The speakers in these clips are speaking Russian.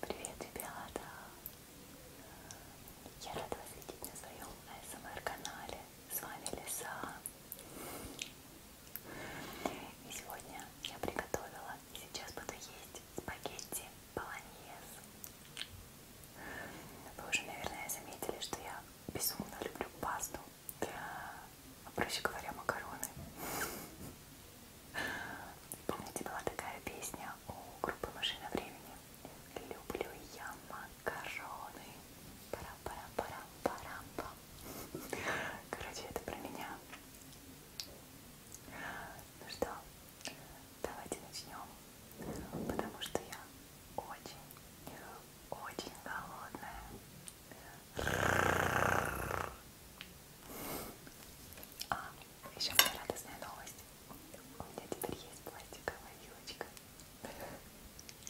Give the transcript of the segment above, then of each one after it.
Привет, ребята! Я рада вас видеть на своем АСМР эм канале. С вами Лиса. И сегодня я приготовила, и сейчас буду есть спагетти болоньез. Вы уже, наверное, заметили, что я безумно люблю пасту, а проще говоря, макароны. Помните, была такая песня у группы «Машина времени»? Люблю я макароны макароны. пара пара пара парам -пам. Короче, это про меня. Ну что, давайте начнем, потому что я очень, очень голодная. А, еще моя радостная новость. У меня теперь есть пластиковая вилочка.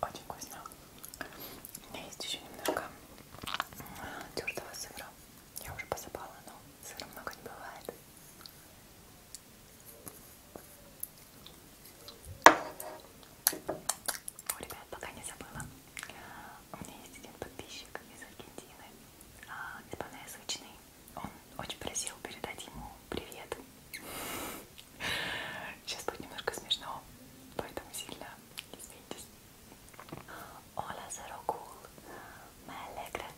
Очень вкусно. У меня есть еще немного а, тертого сыра. Я уже посыпала, но сыра много не бывает. О, ребят, пока не забыла. У меня есть один подписчик из Аргентины, испаноязычный. Он очень просил передать ему привет. Сейчас будет немножко смешно, поэтому сильно извинитесь. Hola, Zero Cool. Me alegra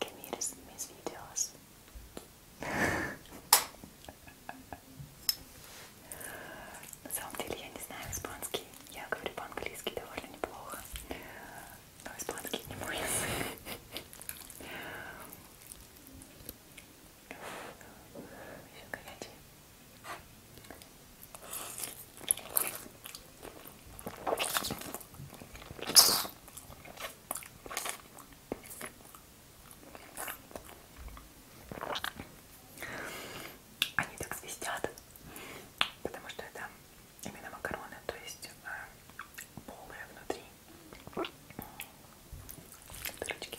que mires mis videos. На самом деле я не знаю испанский. Я говорю по-английски довольно неплохо. Но испанский не мой язык. Еще горячий они так свистят, потому что это именно макароны, то есть э, полые внутри дырочки.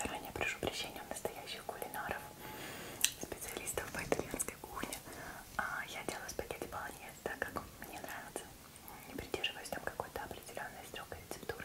Заранее прошу прощения у настоящих кулинаров, специалистов по итальянской кухне. А, я делаю спагетти полонез так, как мне нравится. Не придерживаюсь там какой-то определенной строгой рецептуры.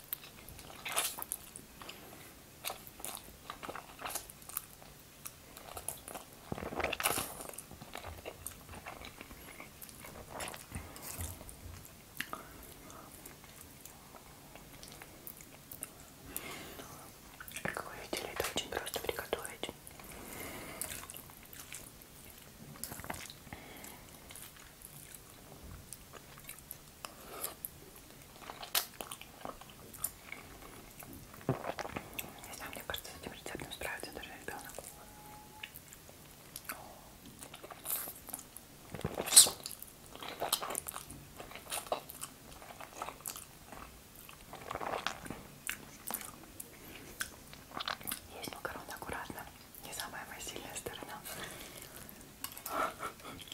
Как вы видели, это очень просто приготовить. Не знаю, мне кажется, с этим рецептом справится даже ребенок. Есть макароны аккуратно, не самая моя сильная сторона.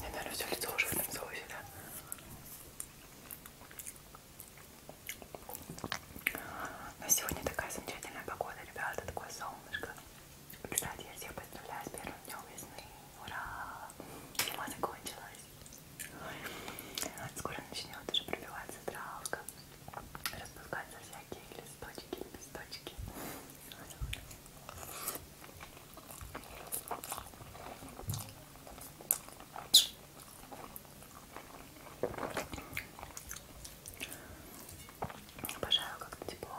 Я, наверное, все лицо уже в этом соусе, да? Но сегодня такая замечательная погода, ребята, такое солнышко. Кстати, я всех поздравляю с первым днем весны. Ура! Зима закончилась. Скоро начнет уже пробиваться травка, распускаются всякие листочки, листочки. Обожаю, как-то тепло.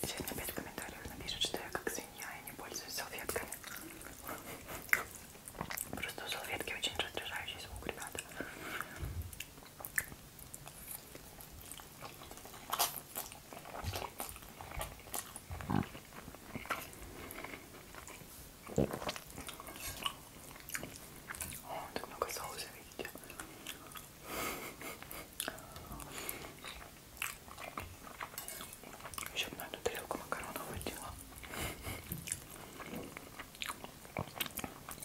Сегодня опять в комментариях напишет, что я как свинья и не пользуюсь салфетками. Просто у салфетки очень раздражающий звук, ребята. О, так много соуса, видите? Еще бы на эту тарелку макаронов выделила.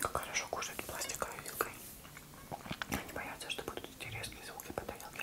Как хорошо кушать пластиковой вилкой. Они боятся, что будут эти резкие звуки по тарелке.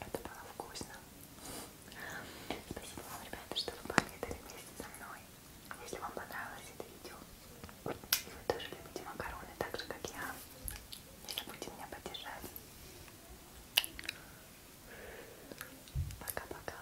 Это было вкусно. Спасибо вам, ребята, что вы пообедали вместе со мной. Если вам понравилось это видео, и вы тоже любите макароны так же, как я, не забудьте меня поддержать. Пока-пока.